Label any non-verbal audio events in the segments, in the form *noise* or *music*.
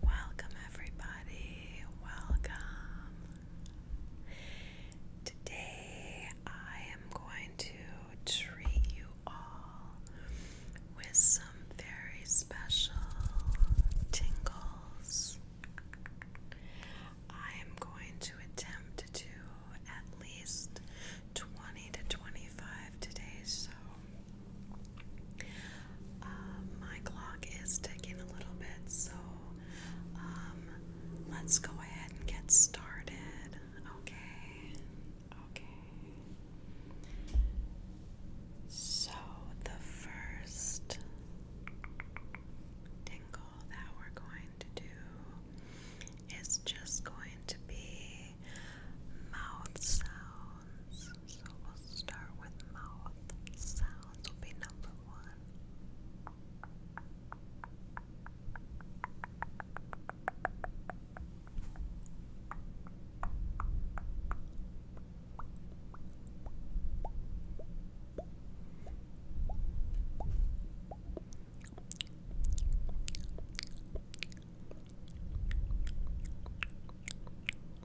Welcome, everybody. Welcome. Today, I am going to treat you all with some very special tingles. I am going to attempt to at least 20 to 25 today, so uh, my clock is ticking a little bit, so um, let's go ahead and get started. Okay, okay. So, the first tingle that we're going to do is just going to be mouth sounds sounds. So we'll start with mouth sounds, will be number one.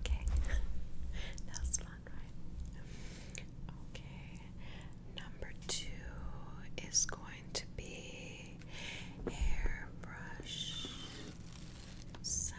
Okay, *laughs* that fun, right? Okay, Number two is going to be hairbrush sounds.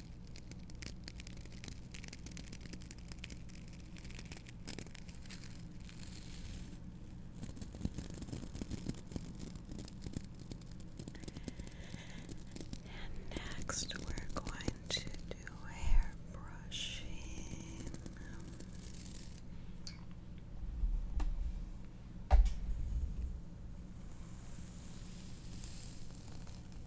And next, we're going to do hair brushing.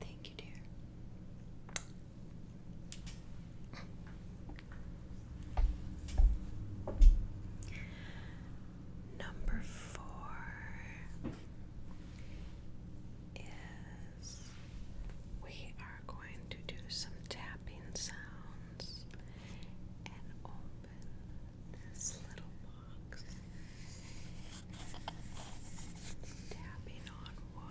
Thank you, dear. Number four is we are going to do some tapping sounds and open this little box, tapping on wood.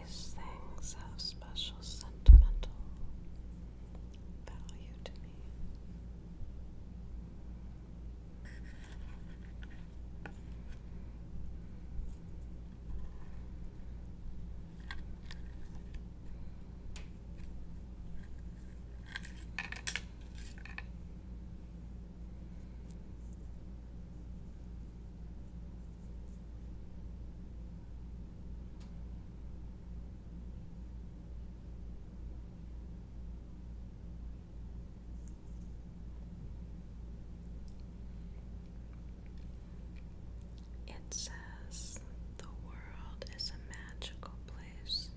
These things have special special sentimental value to me. It says the world is a magical place.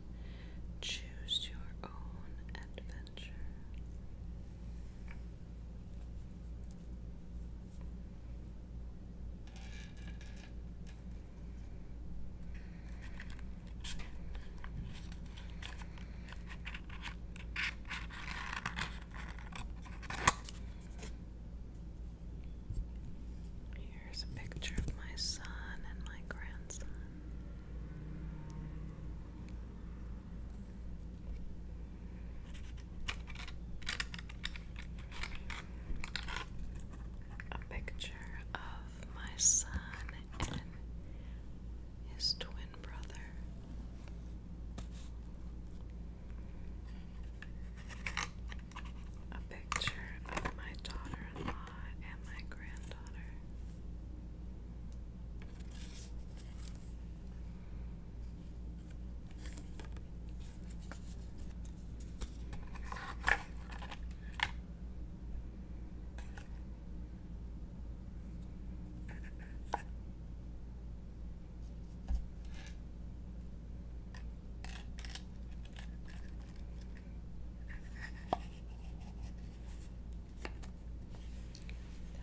Choose your own adventure. Here's a picture of my son and my grandson a picture of my son and his twin brother. A picture of my daughter in law and my granddaughter.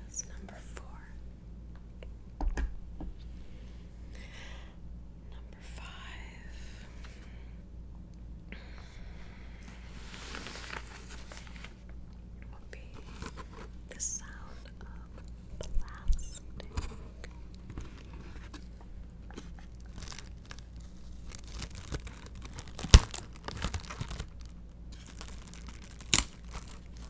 That's number four. Number five would be the sound of plastic.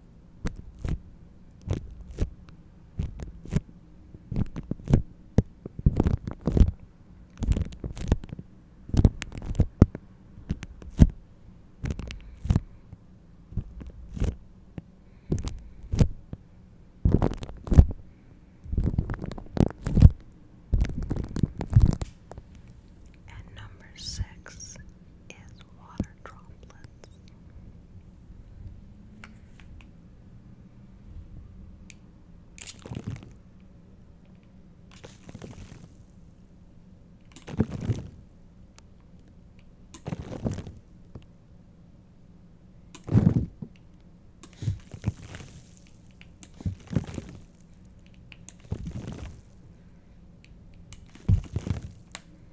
And number six is water droplets.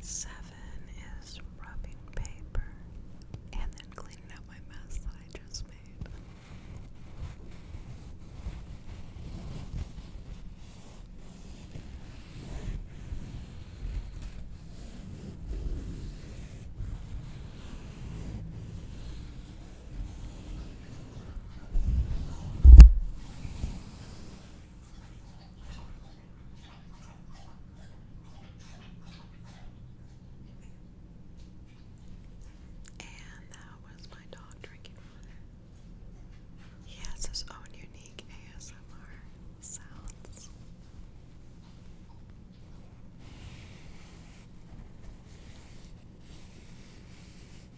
Seven is rubbing paper and then cleaning up my mess that I just made. And that was my dog drinking water. He has his own unique ASMR sounds.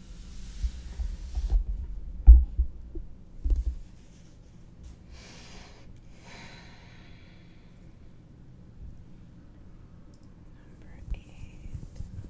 Number eight. Number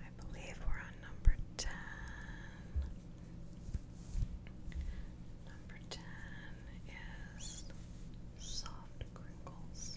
I believe we're on number 10. Number 10 is soft crinkles.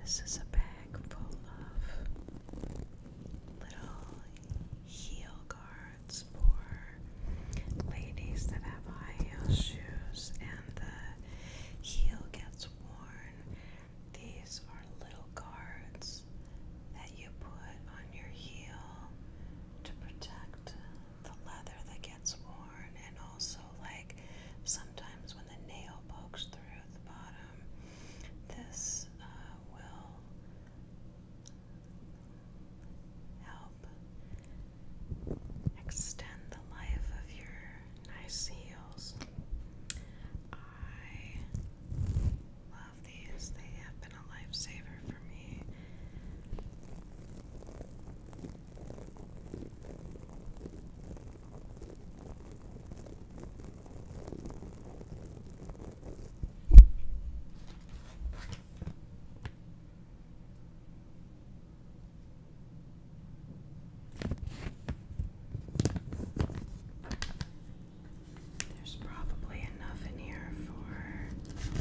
This is a bag full of little heel guards for ladies that have high heel shoes and the heel gets worn. These are little guards that you put on your heel to protect the leather that gets worn and also like sometimes when the nail pokes through this uh, will help extend the life of your nice heels. I love these, they have been a lifesaver for me. There's probably enough in here for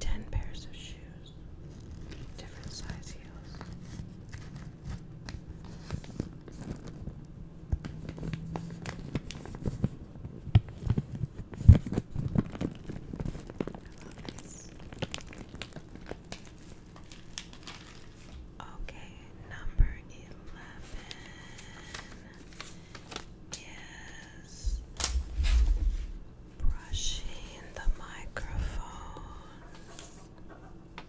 10 pairs of shoes, different size heels. Okay, number eleven is brushing the microphone.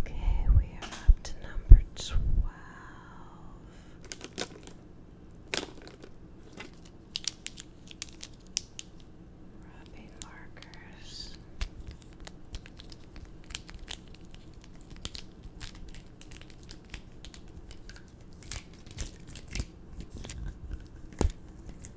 Okay, we are up to number 12. Rubbing markers.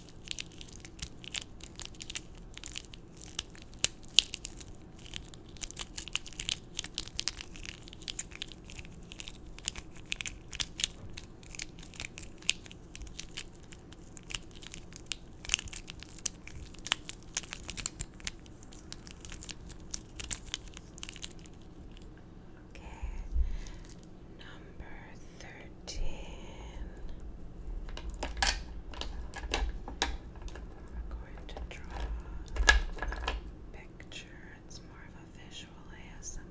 Okay, number thirteen. We're going to draw a picture. It's more of a visual ASMR.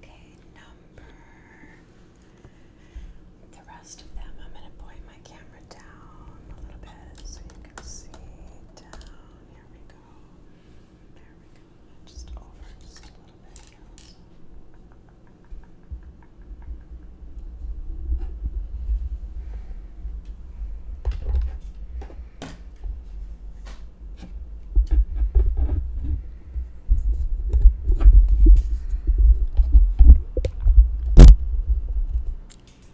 Okay, number. The rest of them, I'm going to point my camera down a little bit so you can see. Down, here we go. There we go. Just over just a little bit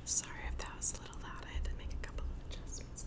Sorry if that was a little loud. I had to make a couple of adjustments.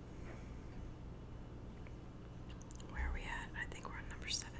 Where are we at? I think we're on number 17.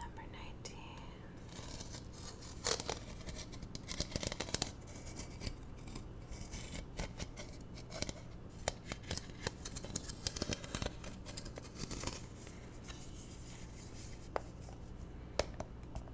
Number nineteen.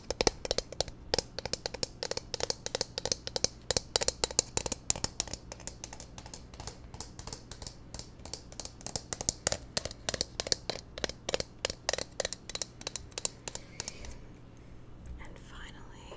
And finally,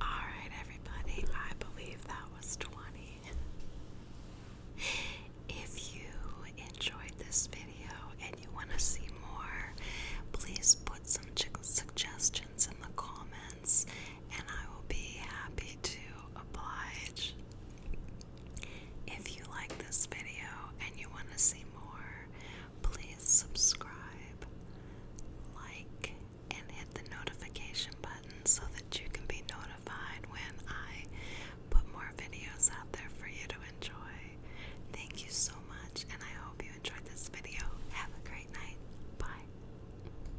All right, everybody, I believe that was 20. If you enjoyed this video and you want to see more, please put some suggestions in the comments and I will be happy to oblige. If you like this video and you want to see more, please subscribe, like, and hit the notification button so that you can be notified when I put more videos out there for you to enjoy. Thank you so much, and I hope you enjoyed this video. Have a great night. Bye.